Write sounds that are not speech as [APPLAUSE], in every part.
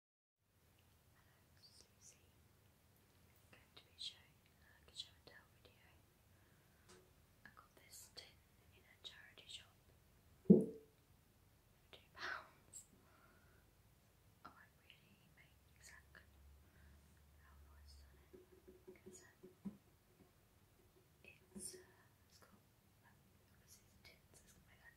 Hello, Susie. going to be showing you a show and tell video. I got this tin in a charity shop. Two pounds. I won't really make exact how much on it because it's got um, obviously it's tins, uh, it's got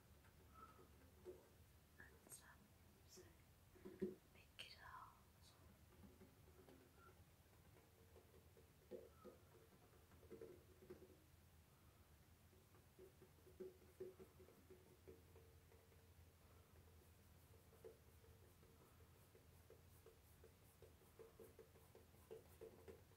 and some big guitars. Thank you.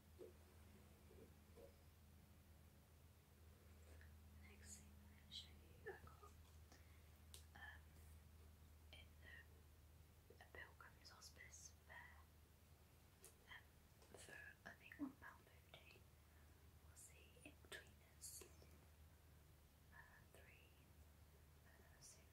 The next thing I'm going to show you, I got um, in the Pilgrim's Hospice fair um, for I think £1.50 was the In Betweeners uh, 3 uh, series, series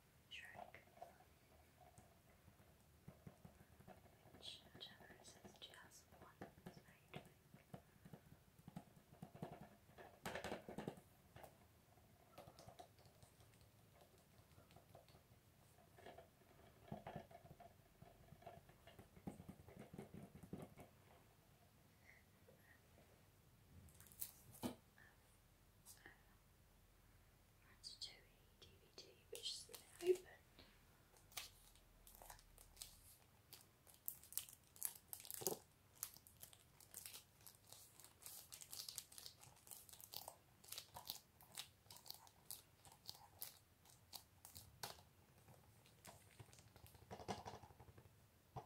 Shrek, which whichever it says just one is very big. This of um, Ratatouille DVD, which has been opened. And then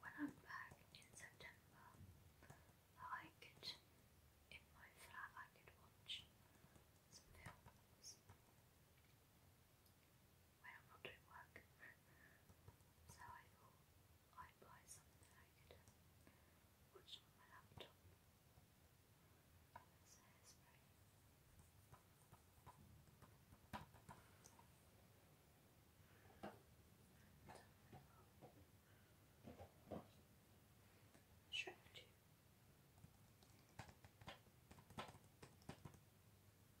when I'm back in September, I could, in my flat, I could watch some films when I'm not doing work. so I thought I'd buy something that I could um, watch on my laptop. That's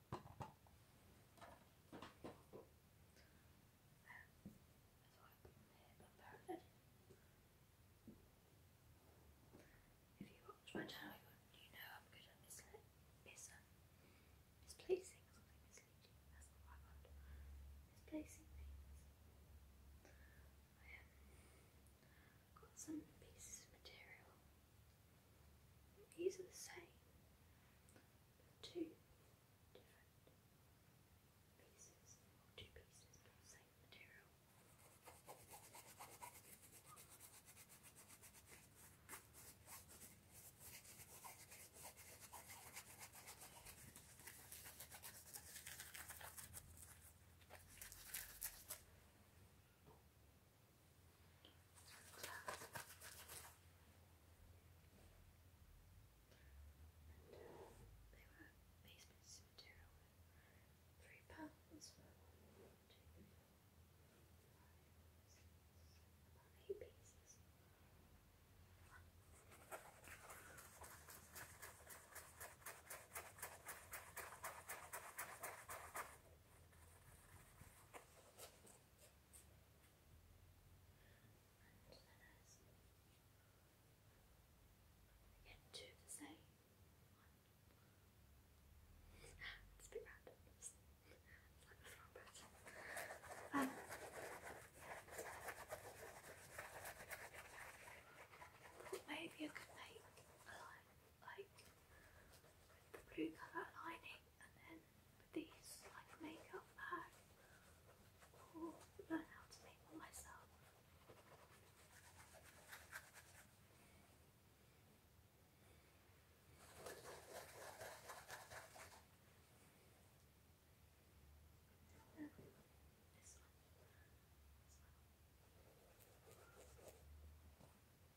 If you watch my channel, you know I'm good at misplacing something Misplacing things. I um, got some pieces of material. These are the same, two different pieces, two pieces of the same material. And uh, they were these material three pounds eight pieces. Again, two the same. it's a bit random. It's like the wrong person. Um, maybe I could make like with the blue colour lining and then these like makeup bags. or learn how to make one myself.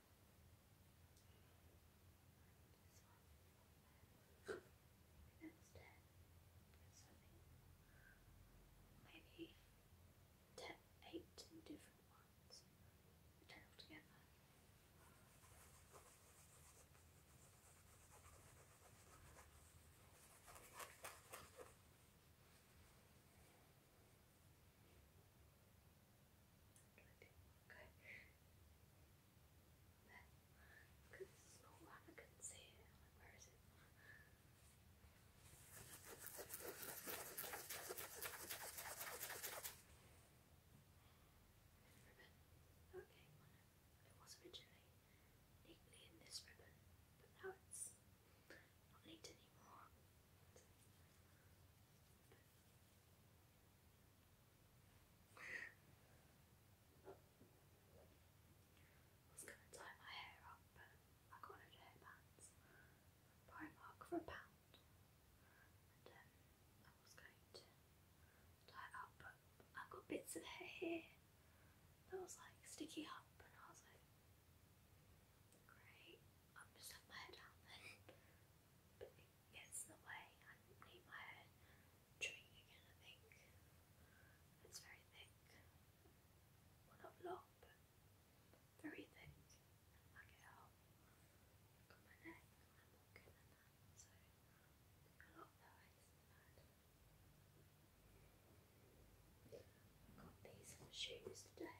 instead maybe ten, eight different ones tangled together. Okay. Then, because there's no where is it? Okay, it was originally neatly in this ribbon, but now it's not late anymore. I going to tie my hair up, but I got no hairbands. Primark for a pound. Um, I was going to tie it up, but i got bits of hair here that was like sticky up, and I was like, Great. I'm just have my head out But it the way. I need my head trimming again, I think. It's very thick. not long, but very thick. I get out. Look my neck. I'm not good that. So, a lot of those got these shoes today.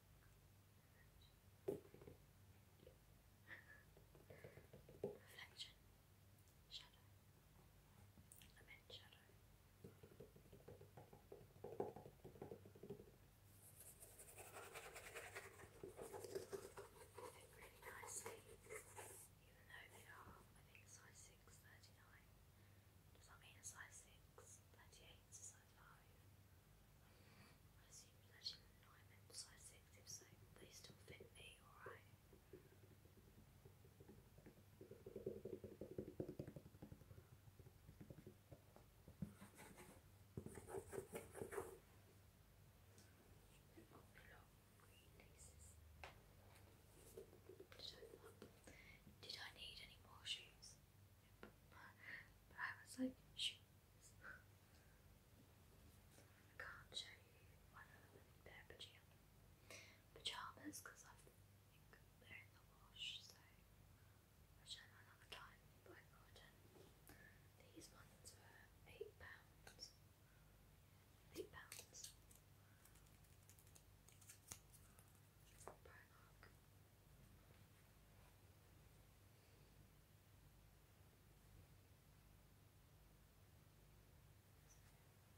Reflection. Shadow. I shadow. They fit really nicely, even though they are, I think, size 6, Does that mean size 6 Gladiator side 5. I assume Legend and 6, if so, they still fit me, alright. Did I need any more shoes? But I was like, shoes. I can't show you one of them in their pajamas because I think they're in the wash, so I'll show them another time. these ones were eight pounds. Eight pounds. Primark.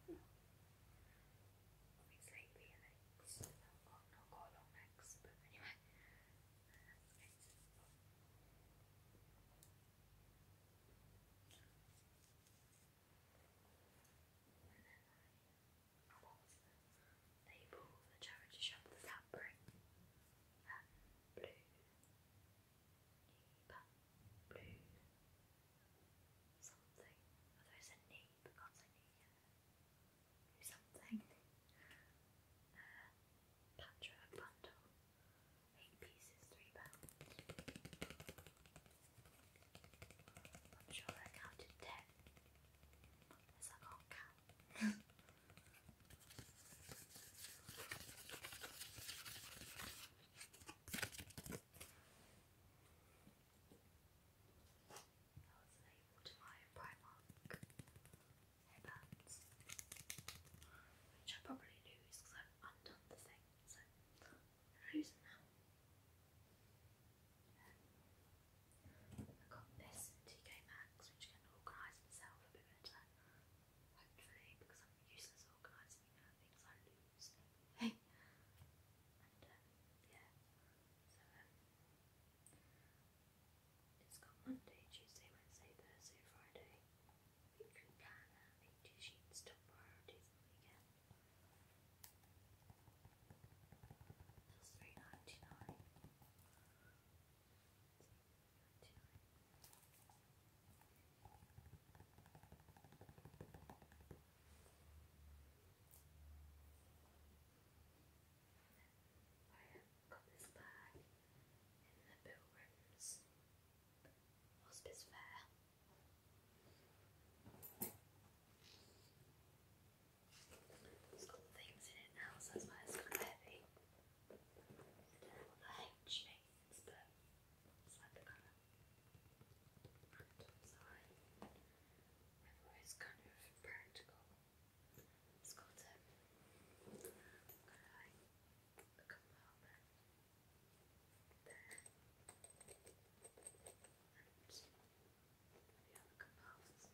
Well, it's like being next. I'll not go along next, but anyway. Okay. And then I I was the charity shop, the fabric, um, blue, blue, something, although it's a Neep, can't say Neep, yeah. something, uh, patchwork bundle, eight pieces, three pounds. I'm sure I counted ten, as I can't count able to buy a Primark which I probably lose because I've undone the thing, so losing now. I got this TK Maxx, which can organise itself a bit better, hopefully, because I'm useless organising, you things I lose anyway. [LAUGHS] Um, yeah, so, um, Monday, Tuesday, Wednesday, Thursday, Friday, weekly planner, 80 sheets, top priorities on the weekend. Feels very I have got this bag in the Pilgrims Hospice Fair. It's things in it now, so that's why it's kind of heavy. I don't but it's like the kind of practical design. Whether it's kind of practical. It's got um, kind of like a compartment there. And the other compartments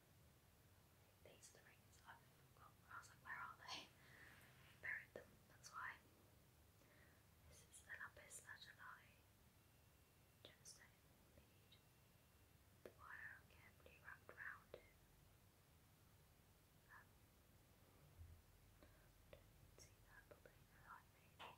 These are i was like, where are they? buried them, that's why. This is the lapis lazuli gemstone bead. The wire carefully wrapped round it. Um, see that, but I made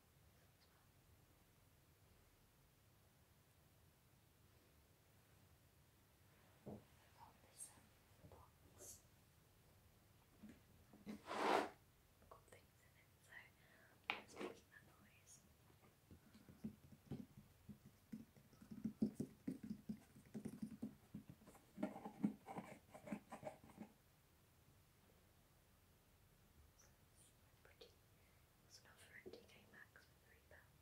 well. I got this um, box. Got things in it, so I making that noise. So it's pretty. It's not for NTK Maxx for three pounds.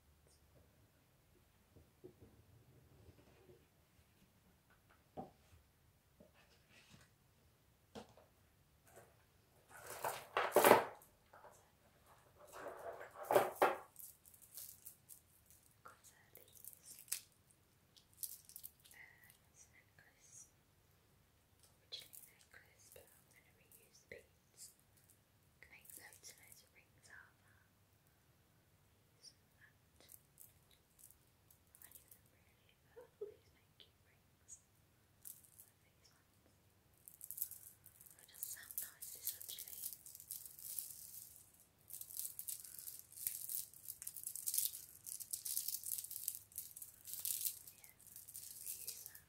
Got these. necklace originally necklace, but I'm going to reuse beads. can make loads and loads of rings out of I knew them really, but i make cute rings. Like does sound nice, actually. Yeah, use that. I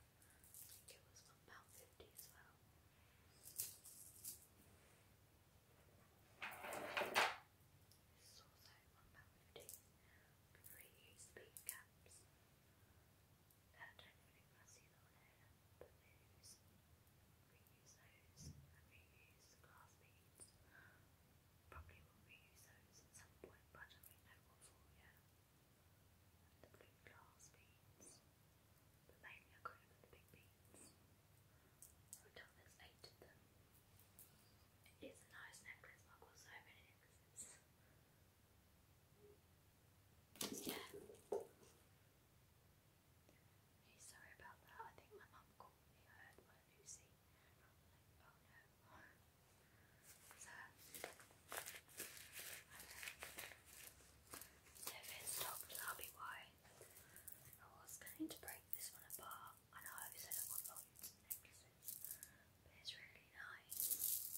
think it was about 50 as well. This is also £1.50. Three USB caps. I don't think I see them on but they use, reuse those and reuse the glass beads. Probably will reuse those at some point, but I don't really know what for the blue glass beads, but mainly I the big beads. I've done there's eight of them. It is a nice necklace, I've got so many necklaces. Yeah. Hey, sorry about that. I think my mum called me. oh no. So if it stops, I'll I was going to break this one apart. I know I said I want loads of necklaces, but it's really nice.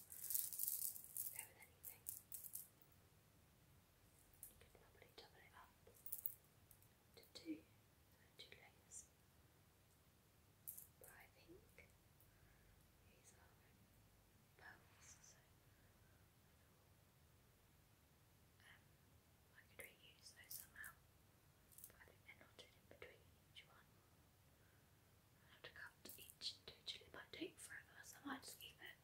Go with anything. You could probably double it up two, two layers but I think these are pearls, so I could reuse those somehow, I think they're knotted in between each one. i have to cut each individually, it might take forever, so I just keep it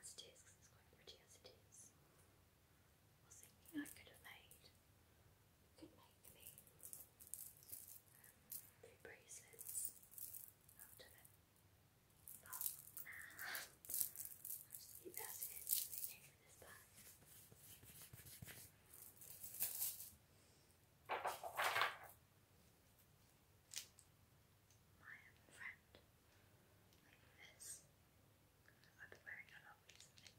as it is it's quite pretty as it is. was thinking I could have made, could make me do bracelets after that. But nah, I'll this back. My friend, like this, I've been wearing a lot recently.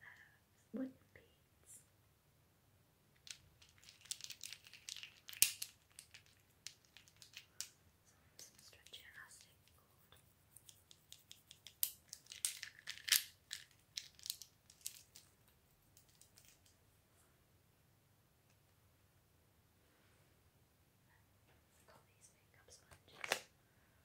Uh, wouldn't be some stretchy elastic cord. Got makeup sponges.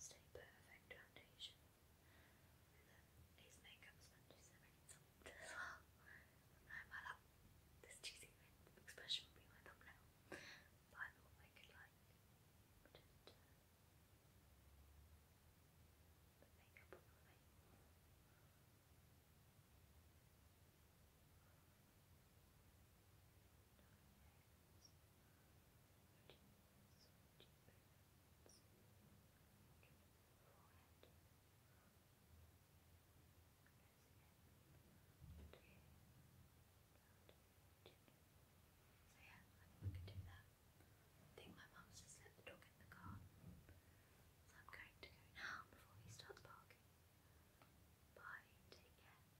Stay perfect foundation. And makeup sponges are really soft as well. I this cheesy expression would be my thumbnail. But I I could like uh, so yeah, I can do that. I think my mum's just let the dog in the car. So I'm going to go now before he starts barking. Bye, take care.